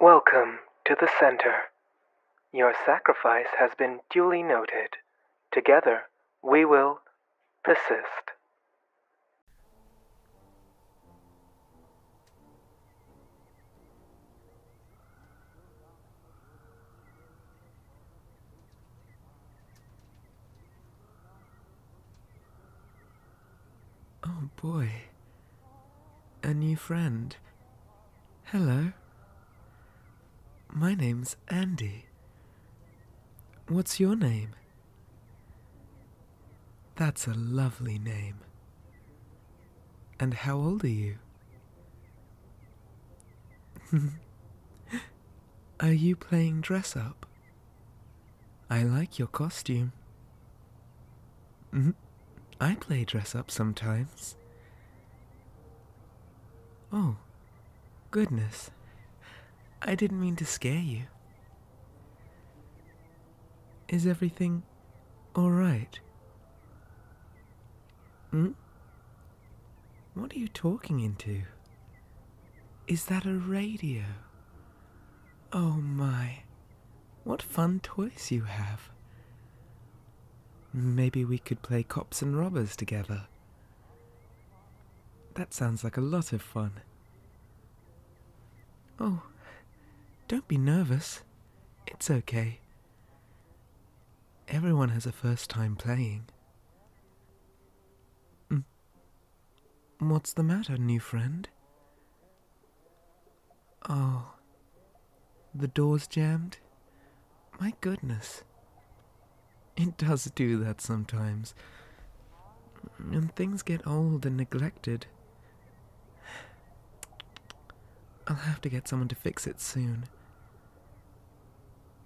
Welcome to the center. Your sacrifice has been duly noted. Together, we will persist. Oh boy. A new friend. Hello. My name's Andy. What's your name? That's a lovely name. And how old are you? are you playing dress up? I like your costume. Mm-hmm. I play dress up sometimes. Oh, goodness. I didn't mean to scare you. Is everything all right? Hmm? What are you talking into? Is that a radio? Oh my, what fun toys you have. Maybe we could play cops and robbers together. That sounds like a lot of fun. Oh, don't be nervous. It's okay. Everyone has a first time playing. Mm. What's the matter, new friend? Oh, the door's jammed? My goodness. It does do that sometimes. And things get old and neglected. I'll have to get someone to fix it soon.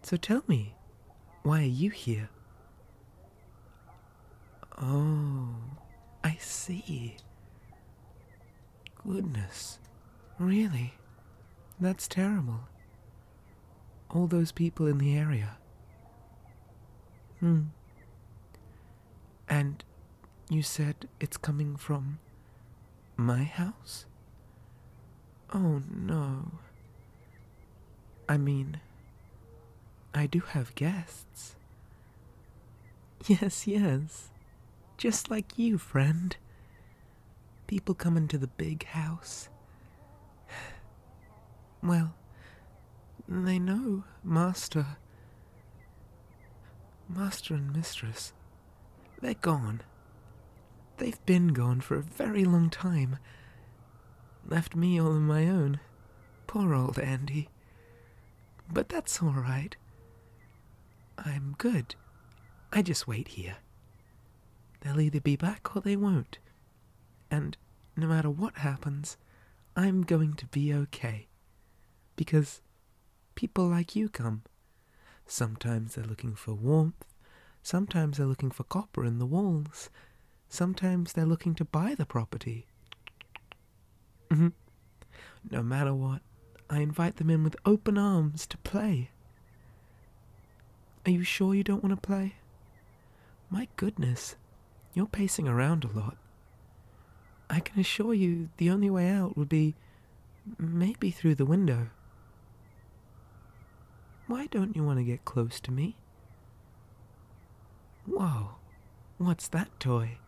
So tell me, why are you here? Oh, I see. Goodness, really? That's terrible. All those people in the area. Hmm. And you said it's coming from my house? Oh no. I mean, I do have guests. Yes, yes. Just like you, friend. People come into the big house. Well, they know Master Master and mistress, they're gone. They've been gone for a very long time. Left me all on my own. Poor old Andy. But that's all right. I'm good. I just wait here. They'll either be back or they won't. And no matter what happens, I'm going to be okay. Because people like you come. Sometimes they're looking for warmth, sometimes they're looking for copper in the walls, sometimes they're looking to buy the property. Mm-hmm. No matter what, I invite them in with open arms to play. Are you sure you don't want to play? My goodness, you're pacing around a lot. I can assure you the only way out would be maybe through the window. Why don't you want to get close to me? Whoa, what's that toy?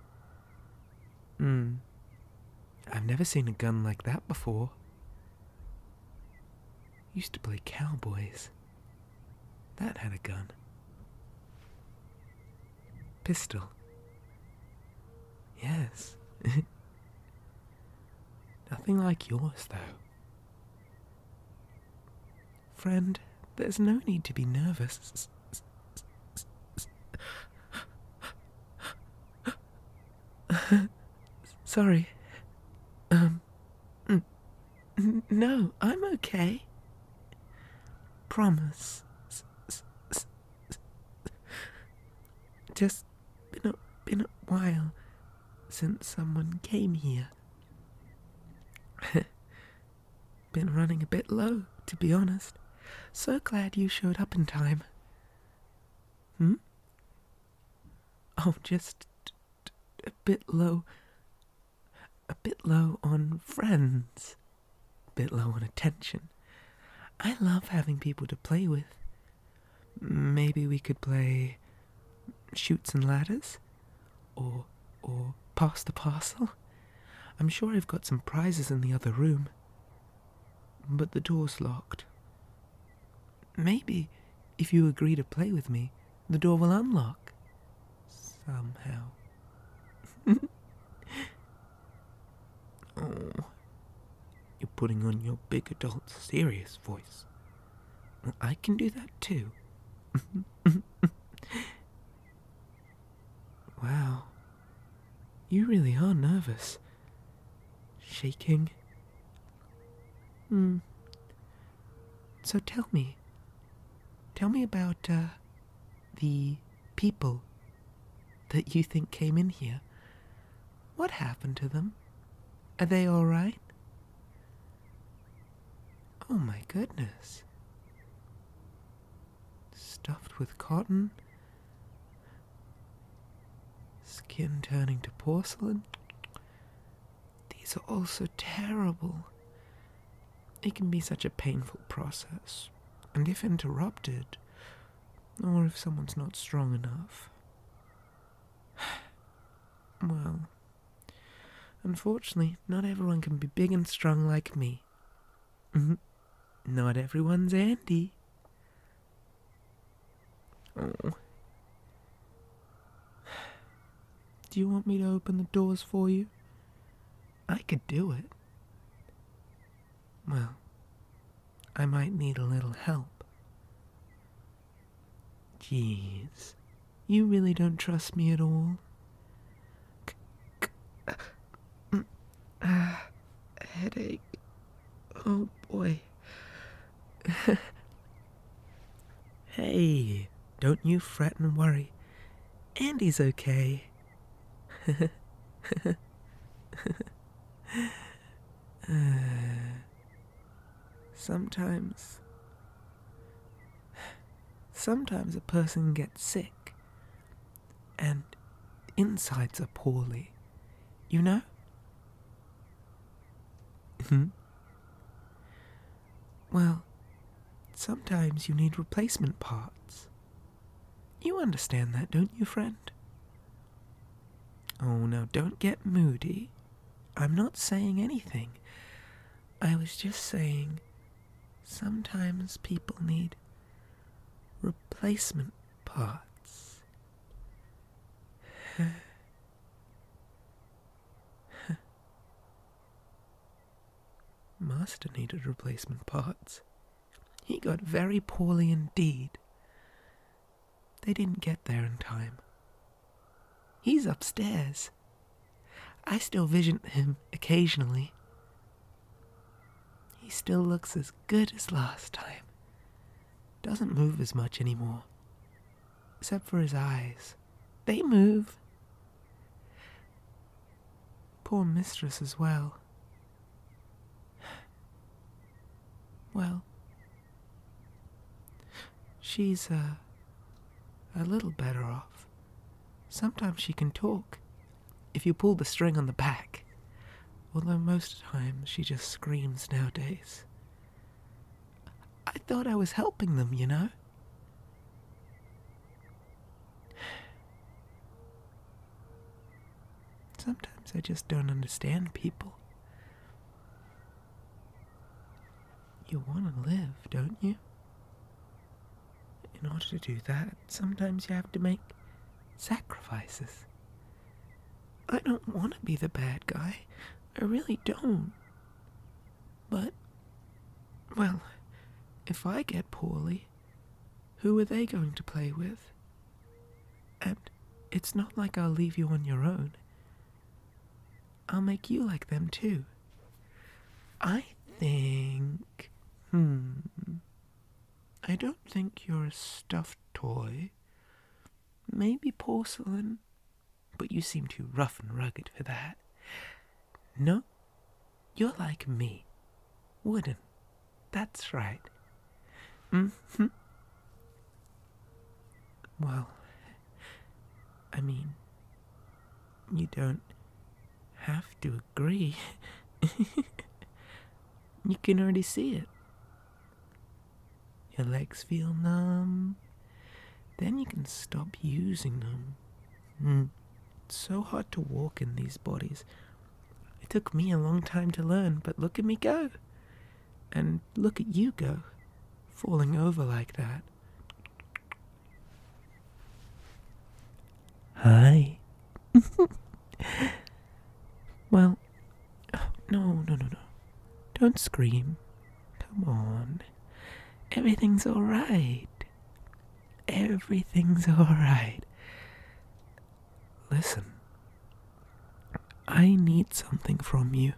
Hmm, I've never seen a gun like that before. Used to play cowboys. That had a gun. Pistol. Yes. Nothing like yours, though. Friend, there's no need to be nervous. Sorry. Um. Mm. No, I'm okay. Promise. Just been a, been a while since someone came here. been running a bit low, to be honest. So glad you showed up in time. Hmm? am oh, just a bit low a bit low on friends, a bit low on attention. I love having people to play with. Maybe we could play shoots and ladders or or pass the parcel. I'm sure I've got some prizes in the other room. But the door's locked. Maybe if you agree to play with me, the door will unlock somehow. oh, you're putting on your big adult serious voice. I can do that too. wow, you really are nervous. Shaking. Hmm. So tell me, tell me about uh, the people that you think came in here. What happened to them? Are they all right? Oh my goodness. Stuffed with cotton, skin turning to porcelain. These are all so terrible. It can be such a painful process, and if interrupted, or if someone's not strong enough. Well, unfortunately, not everyone can be big and strong like me. Mm-hmm. not everyone's Andy. Oh, do you want me to open the doors for you? I could do it. Well, I might need a little help. Jeez, you really don't trust me at all. Ah, headache. Oh boy. Hey, don't you fret and worry. Andy's okay. sometimes. Sometimes a person gets sick and insides are poorly, you know? Hmm? Well, sometimes you need replacement parts. You understand that, don't you, friend? Oh, now don't get moody. I'm not saying anything. I was just saying sometimes people need replacement parts. Master needed replacement parts. He got very poorly indeed. They didn't get there in time. He's upstairs. I still vision him occasionally. He still looks as good as last time. Doesn't move as much anymore except for his eyes. They move. Poor mistress as well. Well, she's uh, a little better off. Sometimes she can talk if you pull the string on the back, although most times she just screams nowadays. I thought I was helping them, you know? Sometimes I just don't understand people. You want to live, don't you? In order to do that, sometimes you have to make sacrifices. I don't want to be the bad guy. I really don't. But, well, if I get poorly, who are they going to play with? And it's not like I'll leave you on your own. I'll make you like them too. I think. Hmm. I don't think you're a stuffed toy maybe porcelain, but you seem too rough and rugged for that. No, you're like me, wooden. That's right. Mm-hmm. Well, I mean, you don't have to agree. you can already see it. Your legs feel numb. Then you can stop using them. Hmm. It's so hard to walk in these bodies. It took me a long time to learn, but look at me go. And look at you go, falling over like that. Hi. well, no, no, no, no. Don't scream. Come on. Everything's alright. Everything's alright. Listen. I need something from you.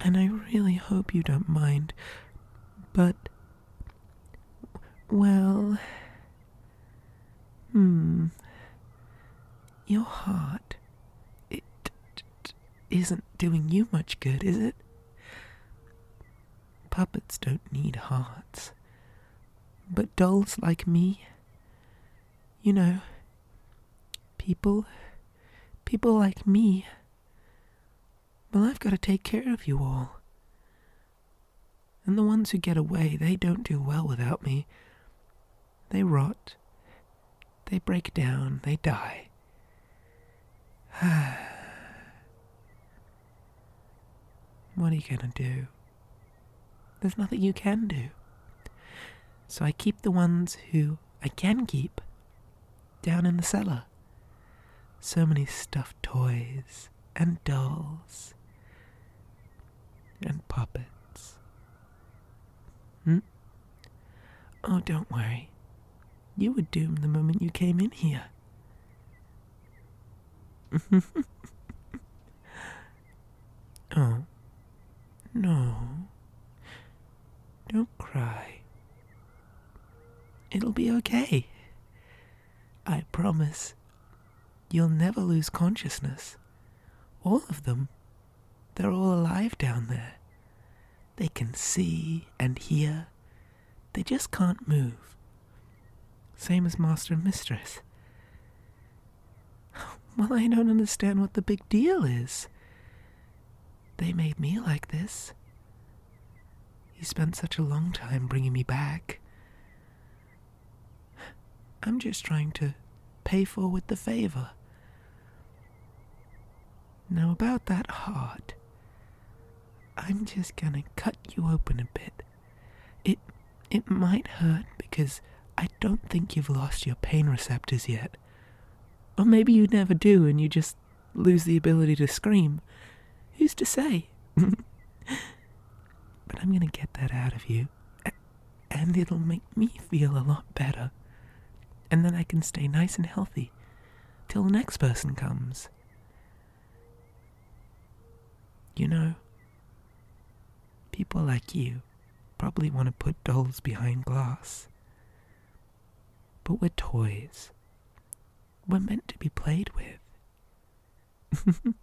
And I really hope you don't mind. But. Well. Hmm. Your heart. It isn't doing you much good, is it? Puppets don't need hearts. But dolls like me. You know, people. people like me. Well, I've got to take care of you all. And the ones who get away, they don't do well without me. They rot, they break down, they die. what are you going to do? There's nothing you can do. So I keep the ones who I can keep down in the cellar. So many stuffed toys and dolls and puppets. Hmm? Oh, don't worry. You were doomed the moment you came in here. oh, no. Don't cry. It'll be okay. I promise. You'll never lose consciousness. All of them. They're all alive down there. They can see and hear. They just can't move. Same as master and mistress. Well, I don't understand what the big deal is. They made me like this. You spent such a long time bringing me back. I'm just trying to pay forward the favor. Now, about that heart, I'm just gonna cut you open a bit. It, it might hurt because I don't think you've lost your pain receptors yet. Or maybe you never do and you just lose the ability to scream. Who's to say? But I'm gonna get that out of you. And it'll make me feel a lot better. And then I can stay nice and healthy till the next person comes. You know, people like you probably want to put dolls behind glass. But we're toys. We're meant to be played with.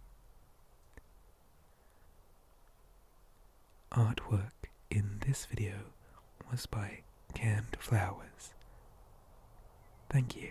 Artwork in this video was by Canned Flowers. Thank you.